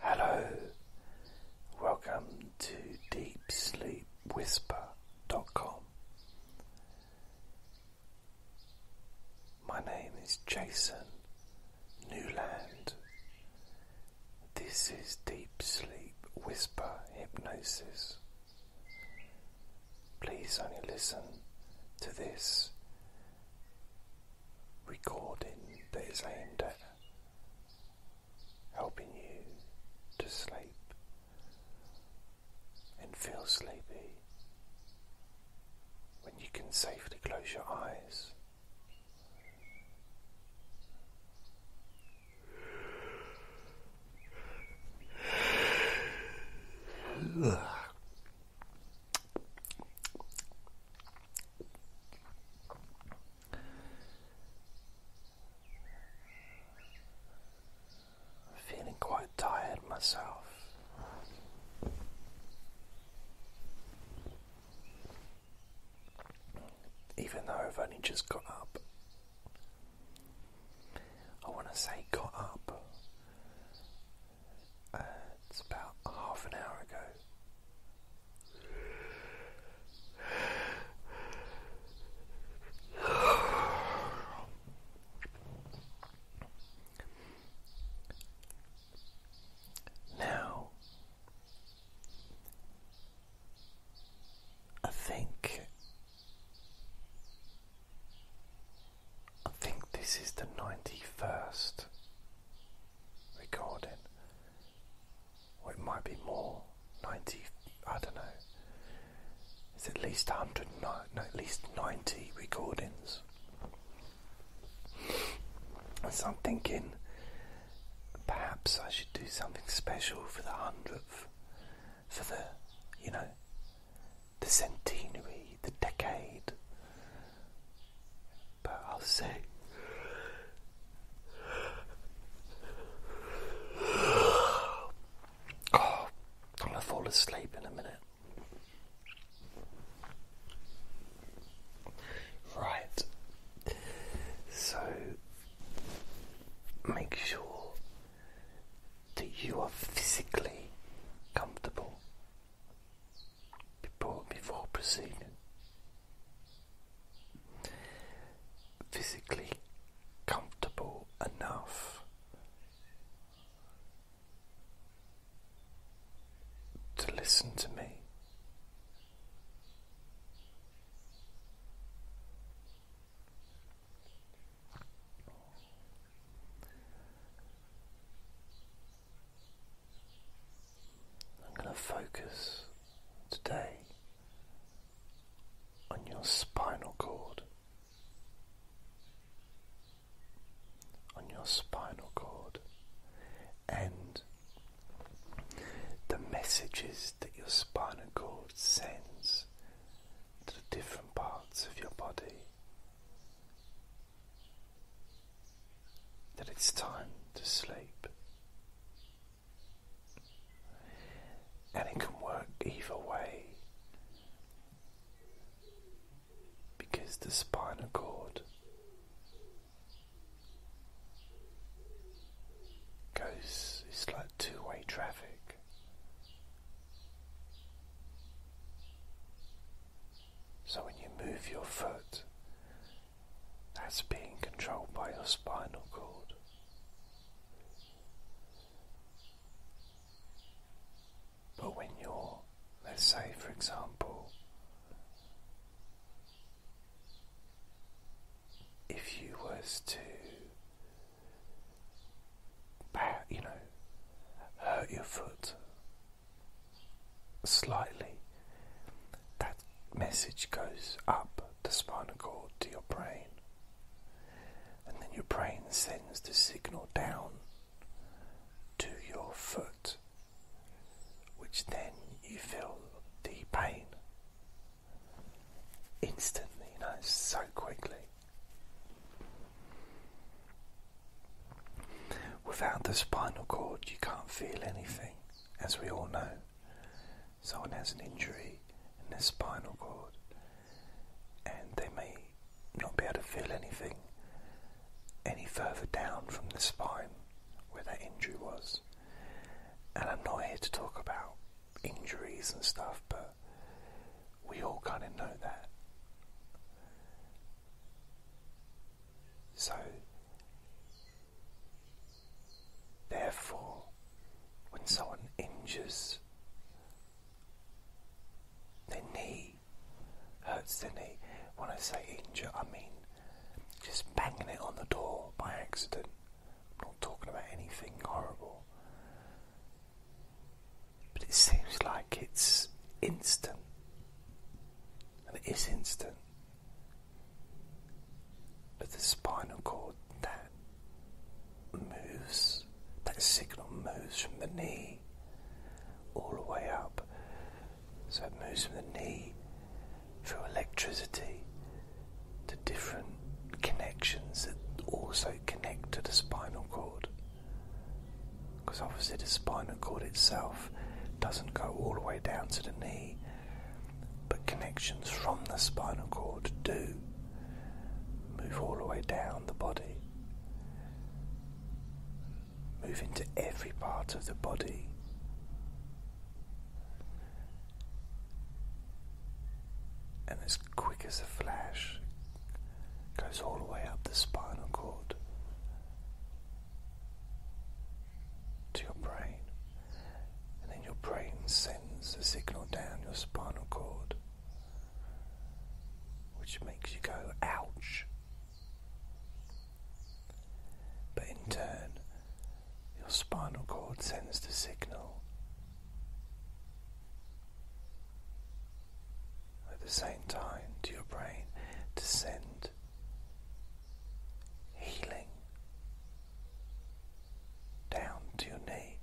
Hello, welcome to DeepSleepWhisper.com. My name is Jason Newland. This is Deep Sleep Whisper Hypnosis. Please only listen to this recording that is aimed at helping you to sleep and feel sleepy when you can safely close your eyes feeling quite tired myself. Even though I've only just got up, I want to say got up uh, it's about half an hour ago. Now, I think I think this is the ninety first recording. Or it might be more, 90, I don't know. It's at least 100, at least 90 recordings. So I'm thinking perhaps I should do something special for the 100th, for the, you know, the centenary, the decade, but I'll say. I'm gonna fall asleep in a minute. Right. So make sure that you are physically comfortable before, before proceeding. Physically comfortable enough to listen to me. I'm going to focus today on your spinal cord. On your spinal cord and the messages that your spinal cord sends to the different parts of your body that it's time to sleep. And it can work either way because the spinal cord goes, it's like two way traffic. So when you move your foot, that's being controlled by your spinal cord. But when you're, let's say for example, if you was to you know, hurt your foot slightly, that message goes up the spinal cord to your brain. And then your brain sends the signal down to your foot, which then you feel the pain instantly, you know, so quickly. Without the spinal cord, you can't feel anything, as we all know. Someone has an injury in their spinal cord, and they may not be able to feel anything any further down from the spine where that injury was. And I'm not here to talk about injuries and stuff, but we all kind of know that. So, therefore, when someone injures their knee, hurts their knee, when I say injure, I mean just banging it on the door by accident. I'm not talking about anything horrible. But it seems like it's instant and it is instant. But the spinal cord that moves, that signal moves from the knee all the way up. So it moves from the knee through electricity to different connections that also connect to the spinal cord. Because obviously the spinal cord itself doesn't go all the way down to the knee, but connections from the spinal cord do move all the way down the body, move into every part of the body. And as quick as a flash, goes all the way up the spinal cord to your brain, and then your brain sends a signal down your spinal cord, which makes you go, ouch. But in turn, your spinal cord sends the signal at the same time to your brain to send healing down to your knee.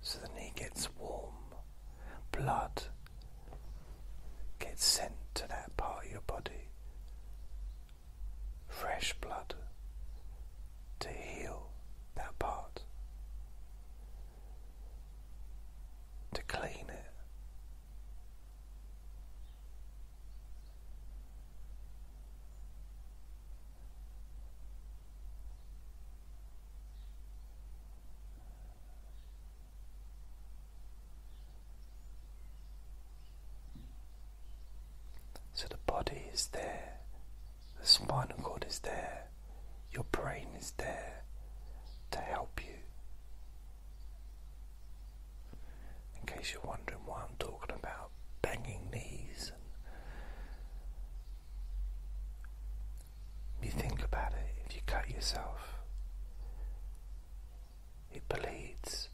So the knee gets warm, blood gets sent to that part of your body, fresh blood to heal that part to clean it. So the body is there the spinal cord is there, your brain is there to help you. In case you're wondering why I'm talking about banging knees, and you think about it, if you cut yourself, it bleeds,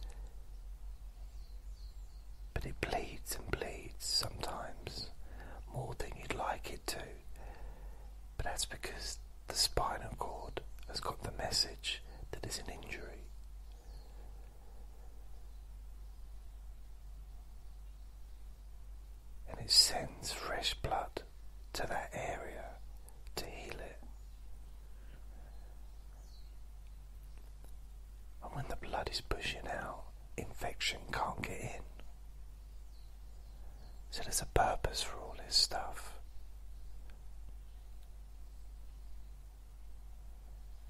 but it bleeds and bleeds sometimes more than you'd like it to. But that's because the spinal cord has got the message that it's an injury. And it sends fresh blood to that area to heal it. And when the blood is pushing out, infection can't get in. So there's a purpose for all this stuff.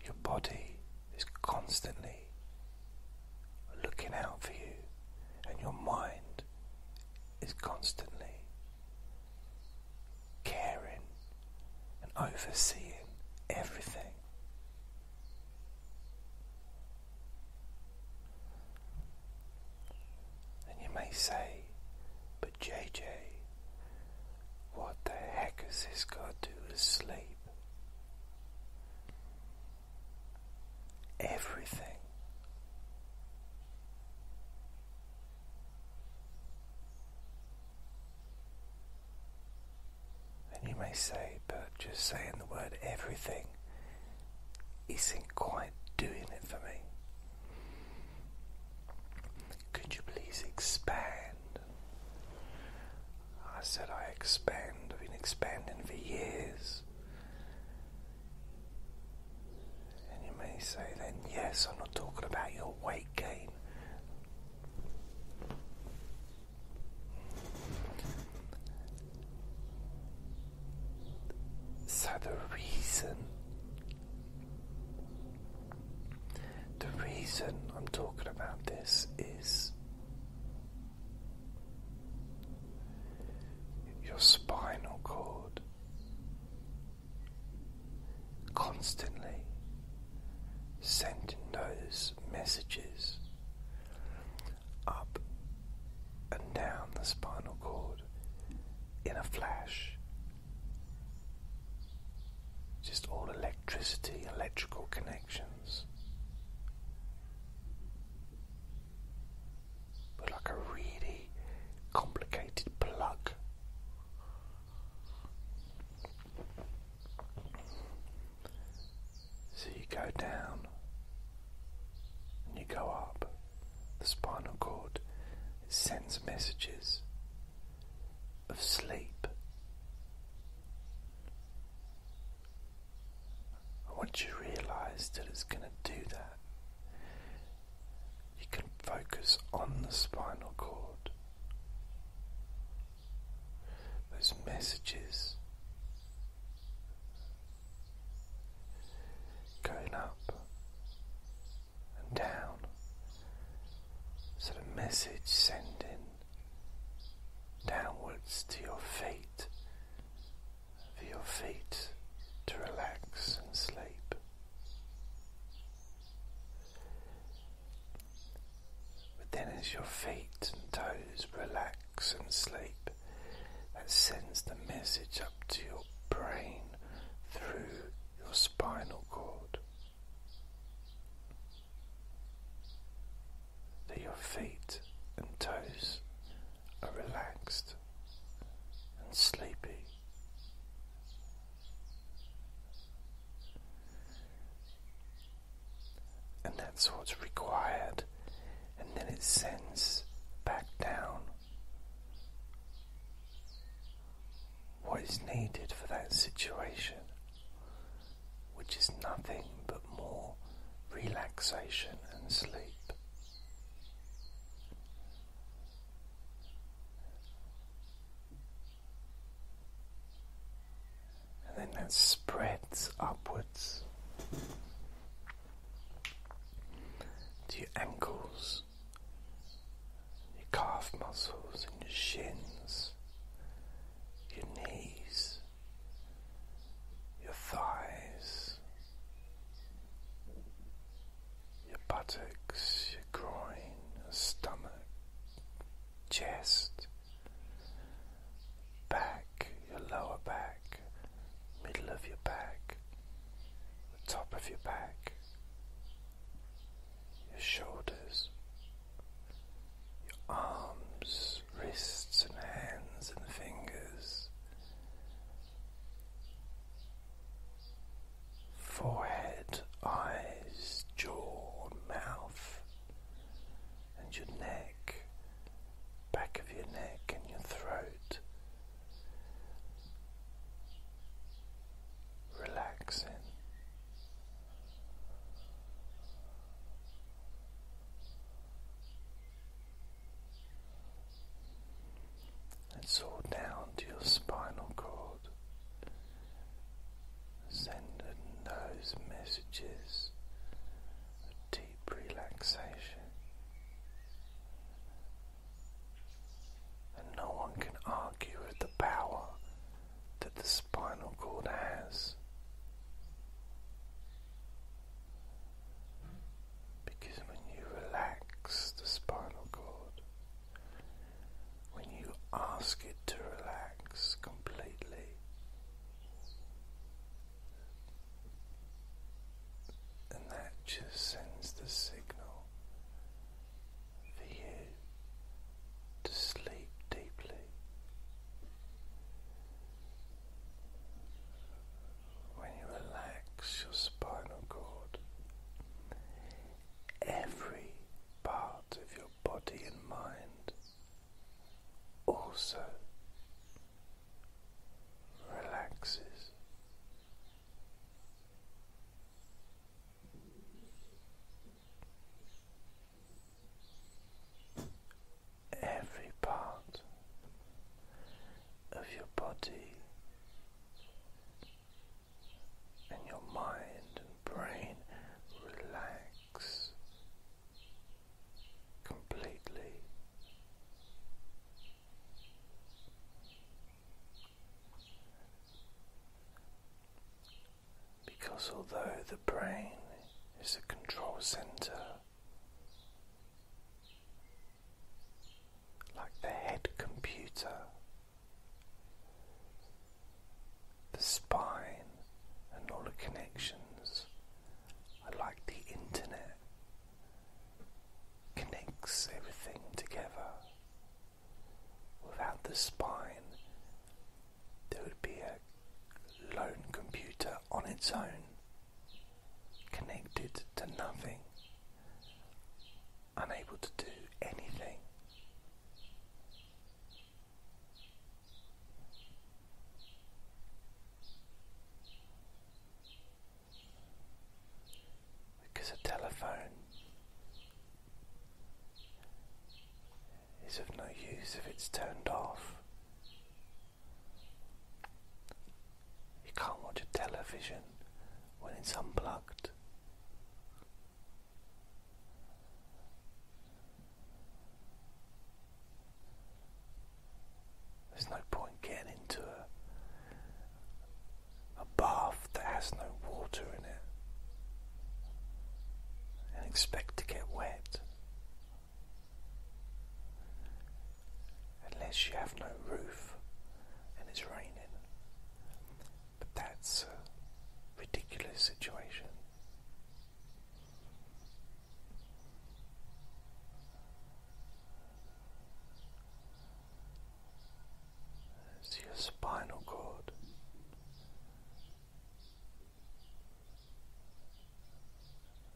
Your body is constantly looking out for you, and your mind is constantly caring and overseeing everything. And you may say, but JJ, what the heck has this got to do with sleep? Everything. And you may say, but just saying the word everything isn't quite doing it for me. Could you please expand? I said, I expand. I've been expanding for years. And you may say, then, yes, I'm not talking about your weight gain. So the reason the reason I'm talking about this is your spinal cord constantly sending those messages up and down the spinal cord in a flash. Just all electricity, electrical connections. like a really complicated plug. So you go down and you go up. The spinal cord it sends messages of sleep. once you realize that it's going to do that, you can focus on the spinal cord. Those messages going up and down, so the message sending downwards to your feet, for your feet to relax and sleep. But then, as your feet and toes relax and sleep, that sends the message up to your brain through your spinal cord that your feet and toes are relaxed and sleepy and that's what's required, and then it sends back down what is needed for that situation, which is nothing but more relaxation and sleep and then that spreads upwards to your ankles, your calf muscles, and your shins, your knees, your thighs, your buttocks, your groin, your stomach, chest, back, your lower back, middle of your back, the top of your back, your shoulders, your arms, wrists, and hands and fingers, forehead, eyes, jaw, mouth and your neck, back of your neck, and your throat. Relaxing. and all down to your spinal cord sending those messages of deep relaxation. And no one can argue with the power that the spinal cord has. Because when you relax the spinal cord, when you ask it to relax completely, and that just sends the signal for you to sleep deeply. When you relax your spinal cord, every part of your body and mind also relaxes. Every part of your body and your mind and brain relax completely. Because although the brain is a control center, like the head computer, the spine and all the connections. I like the internet. Connects everything together. Without the spine, there would be a lone computer on its own, connected to nothing, unable to do anything. Because a telephone is of no use if it's turned off. You can't watch a television when it's unplugged. There's no point getting into a, a bath that has no water in it and expect to get wet unless you have no roof and it's raining. But that's a ridiculous situation. See your spinal cord.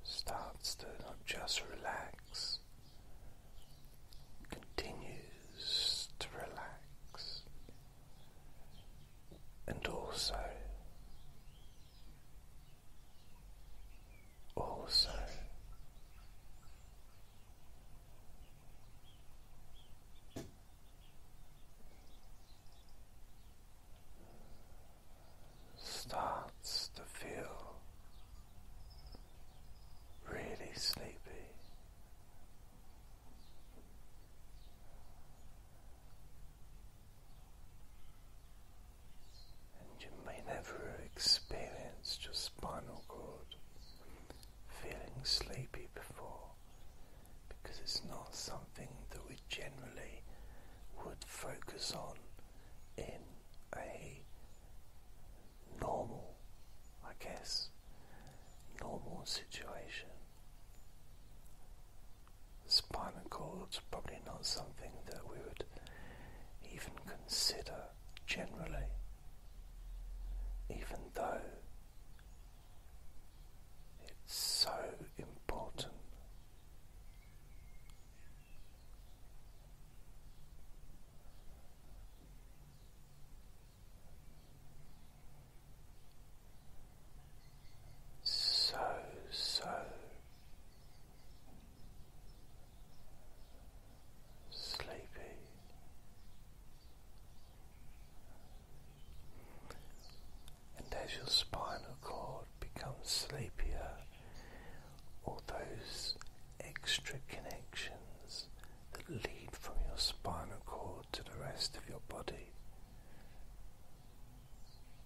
Starts to not just relax, continues to relax, and also, also. Starts to feel really sleepy, and you may never have experienced your spinal cord feeling sleepy before because it's not something that we generally would focus on in a normal, I guess, normal situation. Spinal cord's probably not something that we would even consider generally, even though it's so important so, so, sleepy. And as your spinal cord becomes sleepier, all those extra connections that lead from your spinal cord to the rest of your body,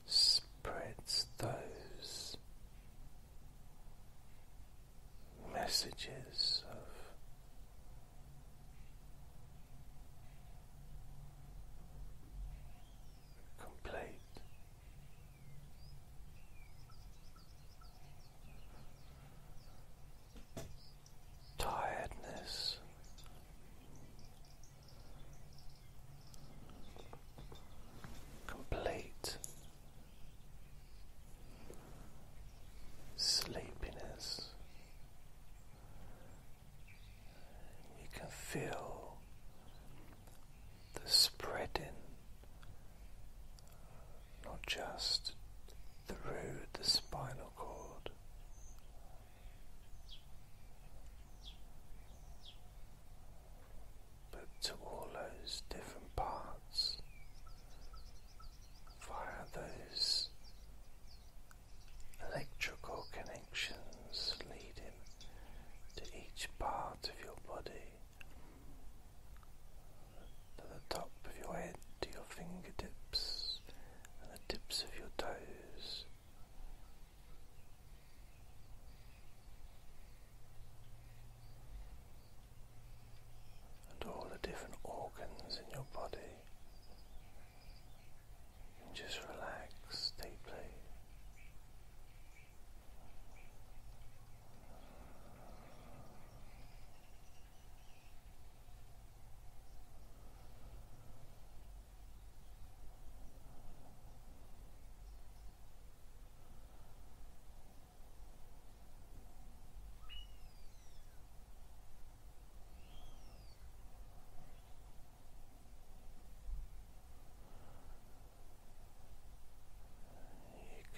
spreads those messages of. Complete tiredness. Complete sleepiness. You can feel the spreading, not just through the spinal cord, but to all those different parts via those electrical connections leading to each part of your body, to the top of your head to your fingertips and the tips of your toes. And all the different organs in your body. And just relax deeply.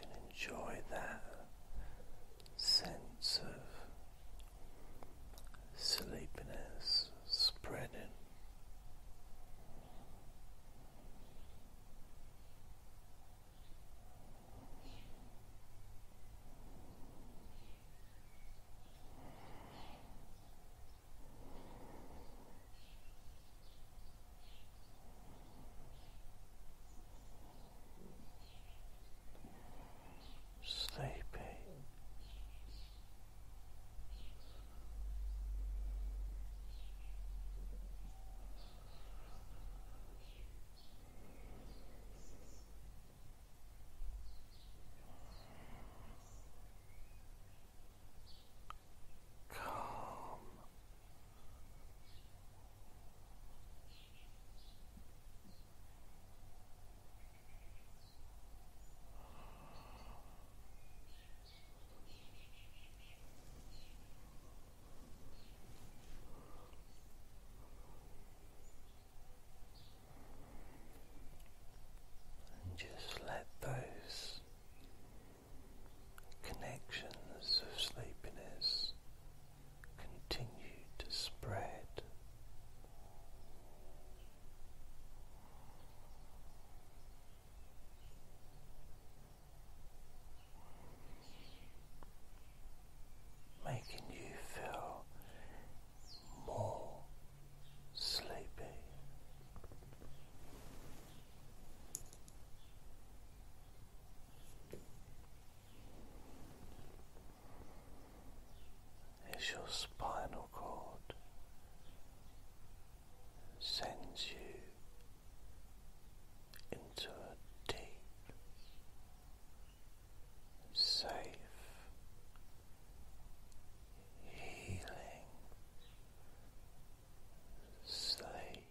You can enjoy that sense of sleepiness spreading sleepy. Calm and just let those connections of sleepiness continue to spread. Making you feel more sleepy as your spinal cord sends you into a deep, safe, healing sleep.